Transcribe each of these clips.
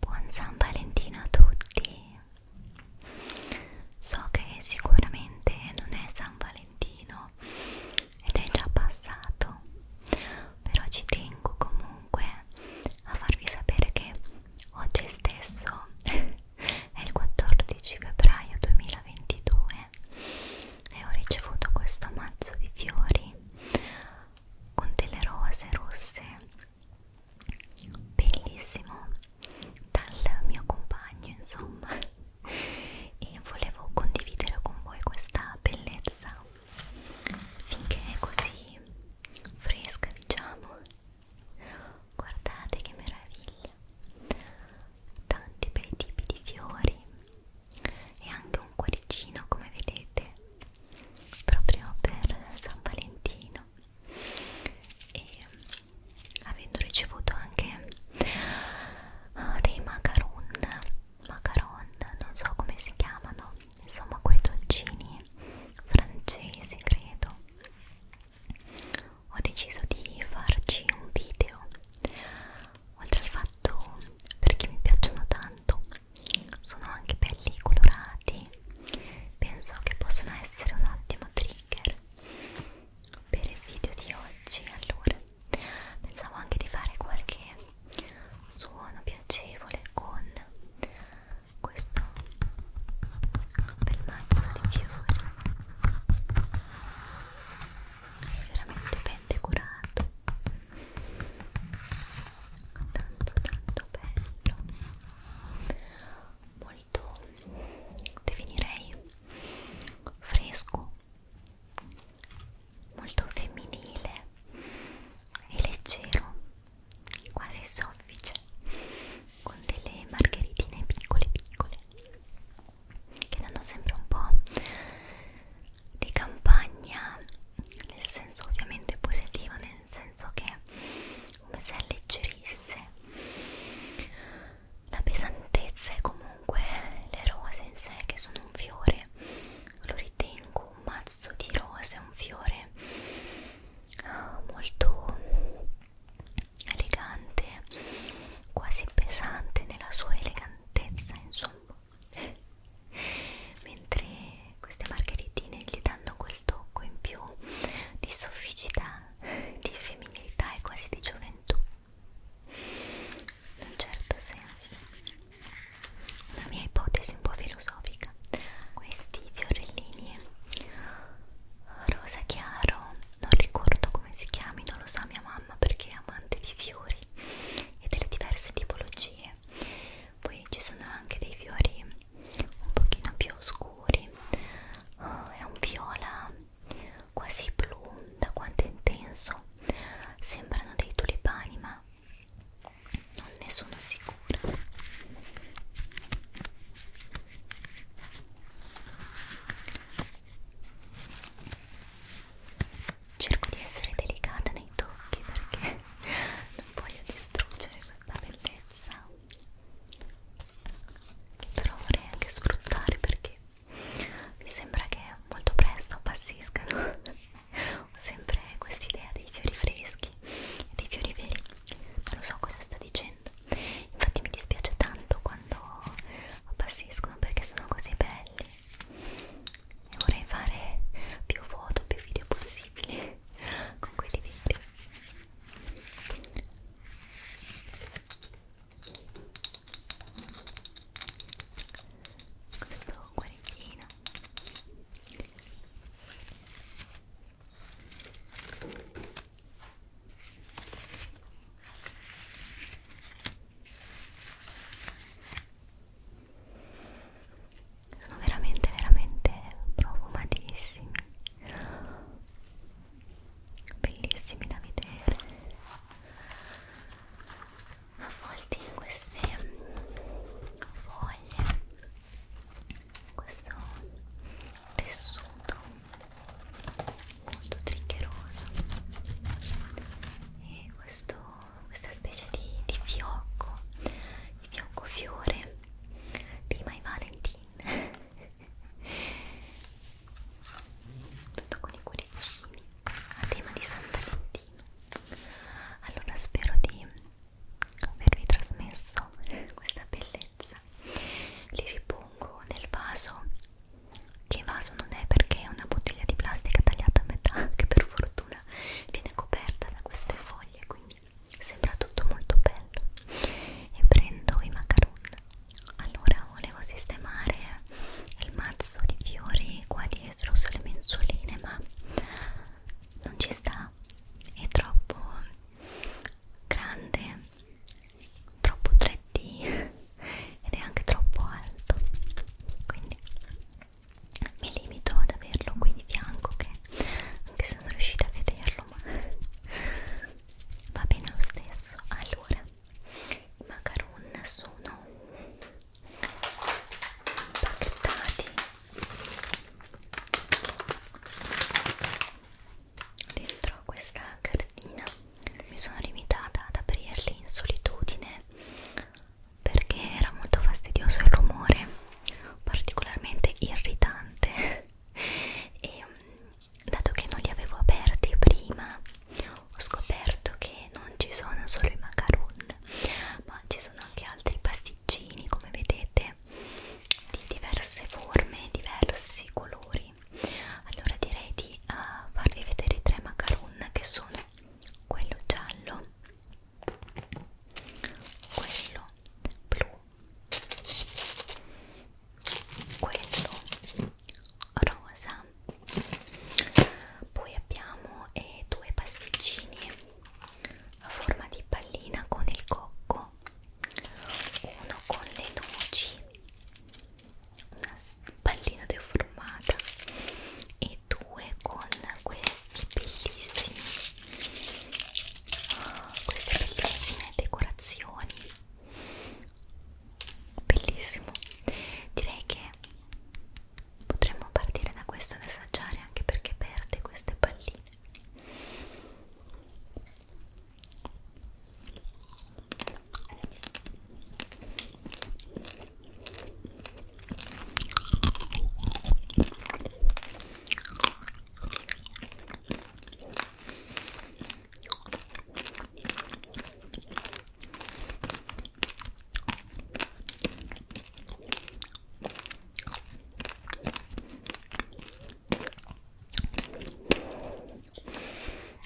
Buon San Valentino a tutti! So che sicuramente non è San Valentino ed è già passato, però ci tengo comunque a farvi sapere che oggi stesso è il 14 febbraio 2022 e ho ricevuto questo mazzo di fiori con delle rose rosse bellissimo dal mio compagno insomma e volevo condividere con voi questa bellezza finché è così fresca diciamo guardate che meraviglia tanti bei tipi di fiori e anche un cuoricino come vedete proprio per San Valentino e avendo ricevuto anche uh, dei macaron macaron non so come si chiamano insomma quei dolcini francesi credo ho deciso di farci un video oltre al fatto perché mi piacciono tanto sono anche belli colorati penso che possano essere un ottimo trigger per il video di oggi allora pensavo anche di fare qualche suono piacevole con questo bel mazzo di fiori veramente ben decorato tanto tanto bello molto definirei fresco molto femminile e leggero quasi soffice con delle margheritine piccole piccole che danno sempre un po' di campagna nel senso ovviamente positivo nel senso che come se alleggerisse la pesantezza e comunque le rose in sé che sono un fiore lo ritengo un mazzo di rose un fiore ah, molto elegante quasi pesante nella sua elegantezza insomma mentre queste margheritine gli danno quel tocco in più di sofficità, di femminilità e quasi di gioventù in un certo senso una mia ipotesi un po' filosofica questi fiorellini rosa chiaro non ricordo come si chiamino lo sa mia mamma perché è amante di fiori e delle diverse tipologie poi ci sono anche dei fiori un pochino più oscuri oh, è un viola quasi blu da quanto è intenso sembrano dei tulipani ma non ne sono sicura cerco di essere delicata nei tocchi perché non voglio distruggere questa bellezza che però vorrei anche sfruttare perché mi sembra che molto presto appassiscano ho sempre quest'idea dei fiori freschi e dei fiori veri non so cosa sto dicendo infatti mi dispiace tanto quando appassiscono perché sono così belli e vorrei fare più foto, più video possibili con quelli veri questo cuoricino sono veramente veramente profumatissimi bellissimi da vedere a volte in queste foglie questo tessuto molto triggeroso e questo questa specie di, di fiocco, di fiocco fiore di My Valentine tutto con i cuoricini a tema di San Valentino allora spero di avervi trasmesso questa bellezza li ripongo nel vaso che vaso non è perché è una bottiglia di plastica tagliata a metà che per fortuna natura viene coperta da queste foglie quindi sembra tutto molto bello e prendo i macaron allora volevo sistemare il mazzo di fiori qua dietro sulle mensoline ma non ci sta è troppo grande troppo 3D ed è anche troppo alto quindi mi limito ad averlo qui di fianco che anche se non riuscite a vederlo ma va bene lo stesso allora i macaron sono impacchettati dentro questa cartina mi sono limitata ad aprirli in solitudine perché era molto fastidioso il rumore, particolarmente irritante e mm, dato che non li avevo aperti prima ho scoperto che non ci sono solo i macaron ma ci sono anche altri pasticcini come vedete di diverse forme, diversi colori allora direi di uh, farvi vedere i tre macaron che sono quello giallo quello blu quello rosa poi abbiamo eh, due pasticcini a forma di pallina con il cocco uno con le noci una pallina deformata e due con questa questi bellissimi queste bellissime decorazioni bellissimo direi che potremmo partire da questo ad assaggiare anche perché perde queste palline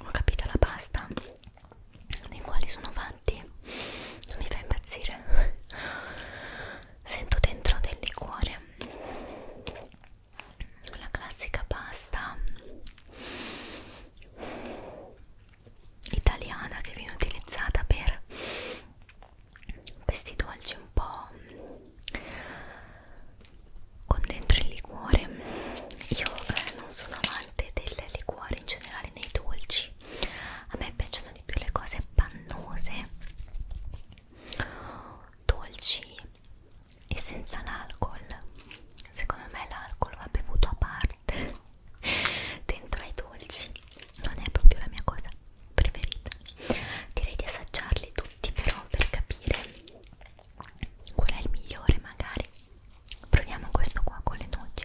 ho capito la pasta dei quali sono fatti non mi fa impazzire sento dentro del liquore la classica pasta italiana che viene utilizzata per questi dolci un po' con dentro il liquore io eh, non sono amante del liquore in generale nei dolci blush a me piacciono di più le cose pannose dolci e senza l'alcol secondo me l'alcol va bevuto a parte dentro ai dolci non è proprio la mia cosa preferita direi di assaggiarli tutti però per capire qual è il migliore magari proviamo questo qua con le noci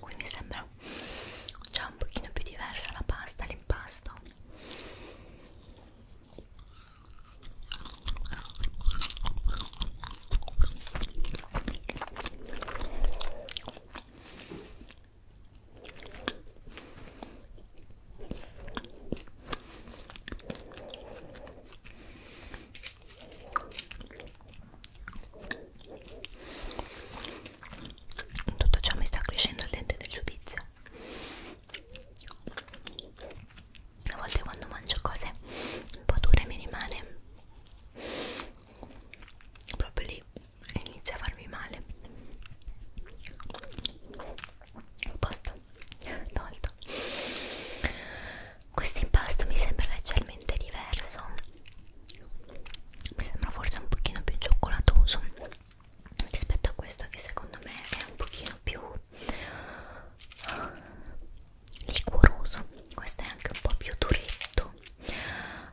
quindi sembra già un pochino più diversa la pasta, l'impasto tutto ciò mi sta crescendo il dente del giudizio a volte quando mangio cose un po' dure mi rimane proprio lì e inizia a farmi male posto tolto questo impasto mi sembra leggermente diverso mi sembra forse un pochino più cioccolatoso rispetto a questo che secondo me è un pochino più ah, liquoroso questo è anche un po' più duretto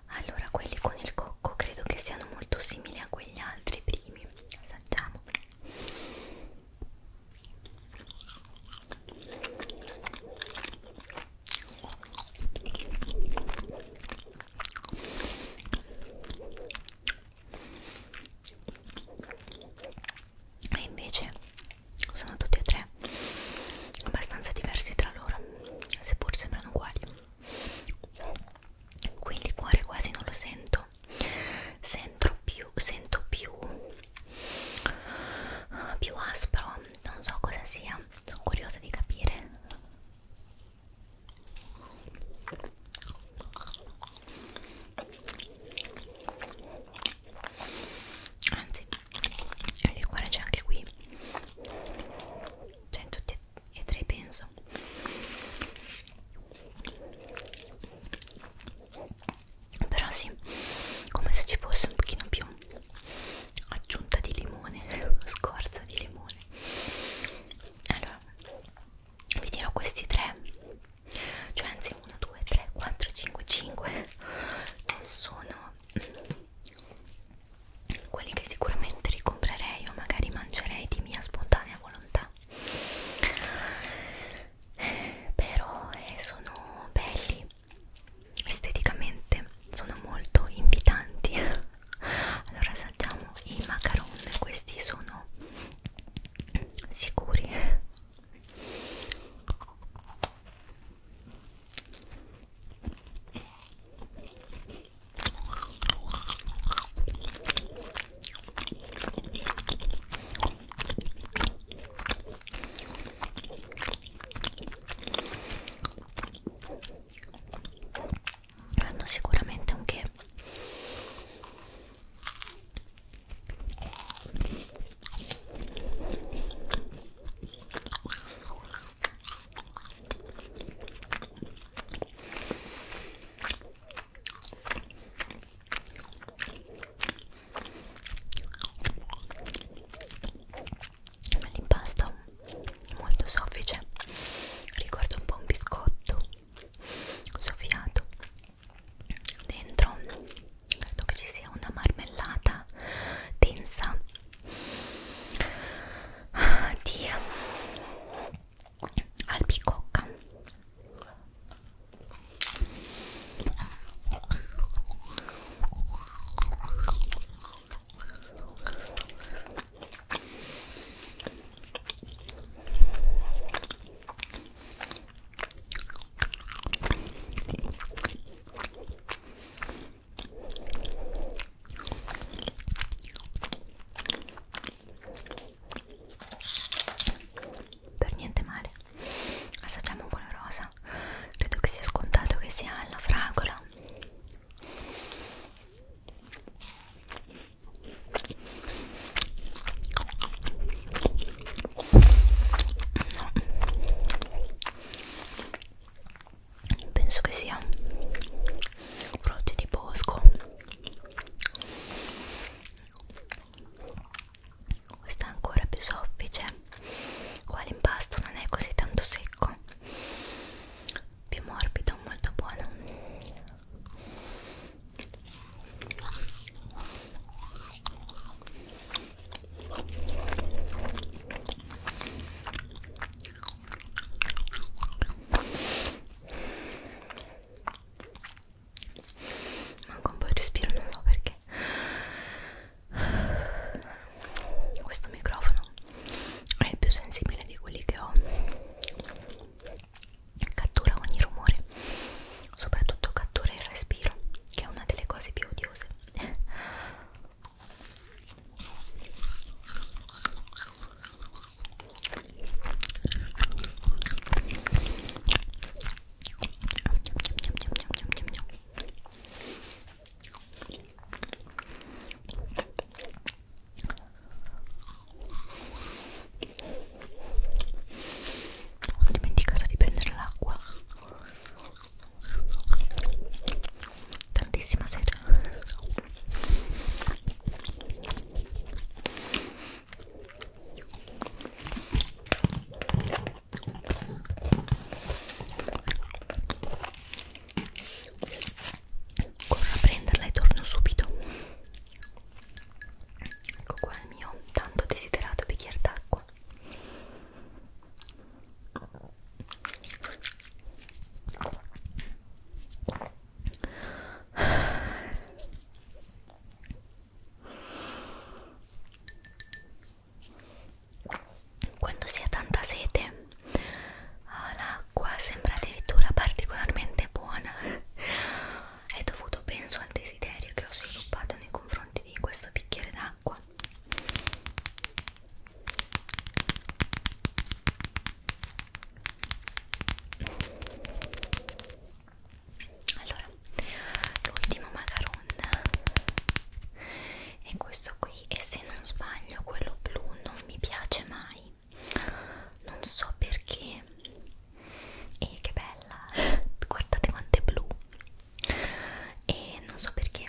allora quelli con il cocco credo che siano molto simili a quegli altri primi assaggiamo e invece sono tutti e tre abbastanza diversi tra loro seppur sembrano uguali qui il cuore quasi non lo sento sento più sento più più aspro non so cosa sia, sono curiosa di capire anzi il liquore c'è anche qui c'è cioè, in tutti e tre penso però sì come se ci fosse un pochino più aggiunta di limone scorza di limone allora vi dirò questi tre cioè anzi 1 2 3 4 5 5 non sono quelli che sicuramente ricomprerei o magari mangerei di mia spontanea volontà però eh, sono belli esteticamente sono molto invitanti allora assaggiamo i macaron questi sono sicuri hanno sicuramente un che l'impasto molto soffice ricorda un po' un biscotto soffiato dentro credo che ci sia una marmellata densa di eh, albicocca per niente male assaggiamo quello rosa banana credo che sia scontato che sia la fragola no. penso che sia frutti di bosco questa è ancora più soffice qua l'impasto non è così tanto secco più morbido molto buono manco un po' di respiro non so perché questo microfono è più sensibile di quelli che ho cattura ogni rumore soprattutto cattura il respiro che è una delle cose più odiose ho dimenticato di prendere l'acqua tantissima seta corro a prenderla e torno subito ecco qua il mio tanto desiderato bicchiere d'acqua quando si ha tanta sete, ah, l'acqua sembra addirittura particolarmente buona. È dovuto, penso, al desiderio che ho sviluppato nei confronti di questo bicchiere d'acqua. Allora, l'ultimo macaron e questo qui e se non sbaglio quello blu non mi piace mai non so perché e che bella guardate quanto è blu e non so perché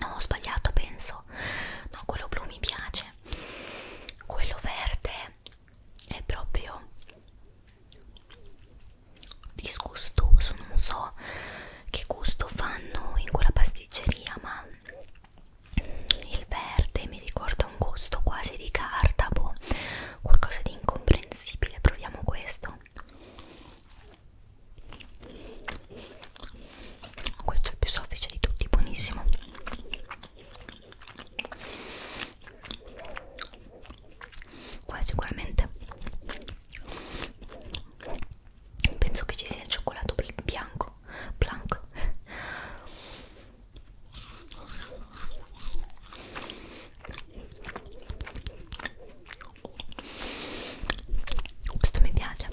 no ho sbagliato penso no quello blu mi piace quello verde è proprio disgustoso non so che gusto fanno in quella pasticceria ma il verde mi ricorda un gusto quasi di carta boh, qualcosa di incomprensibile proviamo questo questo è il più soffice di tutti buonissimo qua sicuramente penso che ci sia il cioccolato bianco blanco questo mi piace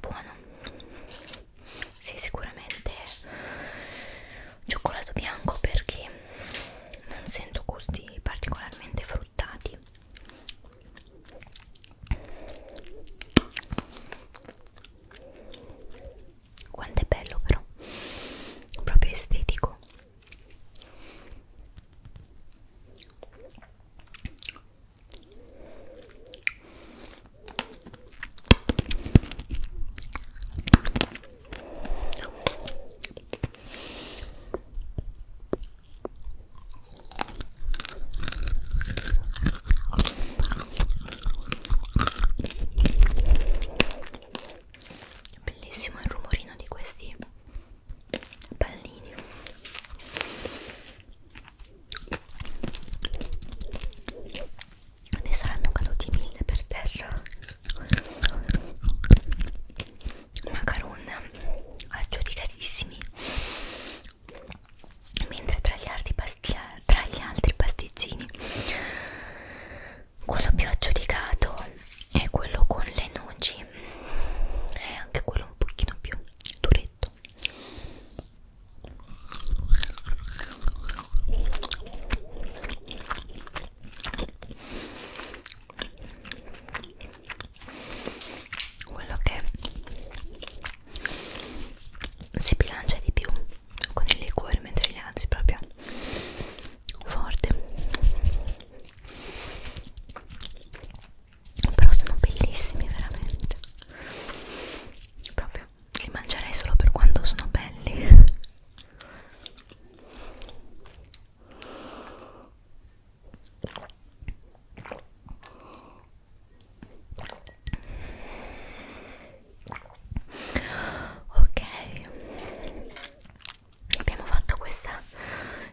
buono sì sicuramente cioccolato bianco perché non sento gusti particolarmente fruttati quanto è bello però proprio estetico Bellissimo il rumorino di questi pallini ne saranno caduti mille per terra macaron aggiudicatissimi mentre tra gli altri, tra gli altri pasticcini quello più aggiudicato è quello con le noci è anche quello un pochino più duretto quello che si bilancia di più con il liquore mentre gli altri proprio forte però sono bellissimi veramente proprio li mangerei solo per quando sono belli ok abbiamo fatto questa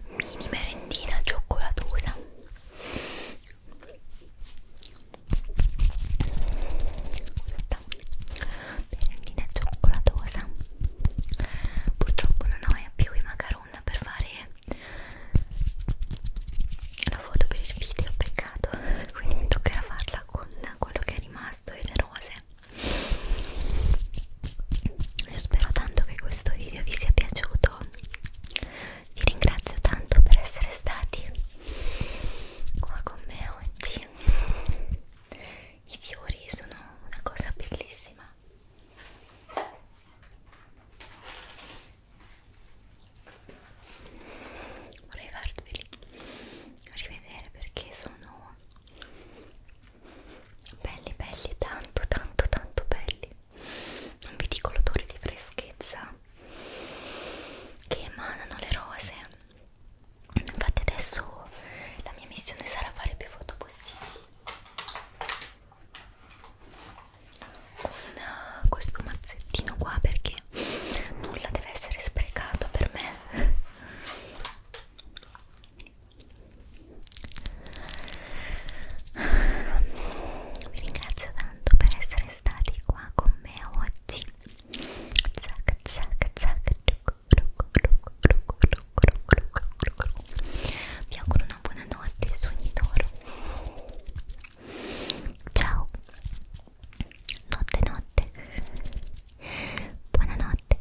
mini merendina cioccolatosa merendina cioccolatosa purtroppo non ho più i macaron per fare la foto per il video peccato quindi mi toccherà farla con quello che è rimasto e le rose io spero tanto che questo video vi sia piaciuto. Vi ringrazio tanto per essere stati qua con me oggi. I fiori sono una cosa bellissima. Vorrei farveli rivedere perché sono belli belli tanto tanto tanto belli non vi dico l'odore di freschezza che emanano le rose infatti adesso la mia missione sarà fare più foto possibili con eh, questo mazzettino qua perché nulla deve essere sprecato per me vi ringrazio tanto per essere stati qua con me oggi. Zac, zac, zac. Vi auguro una buona notte, sogni d'oro. Ciao. Notte, notte. Buonanotte.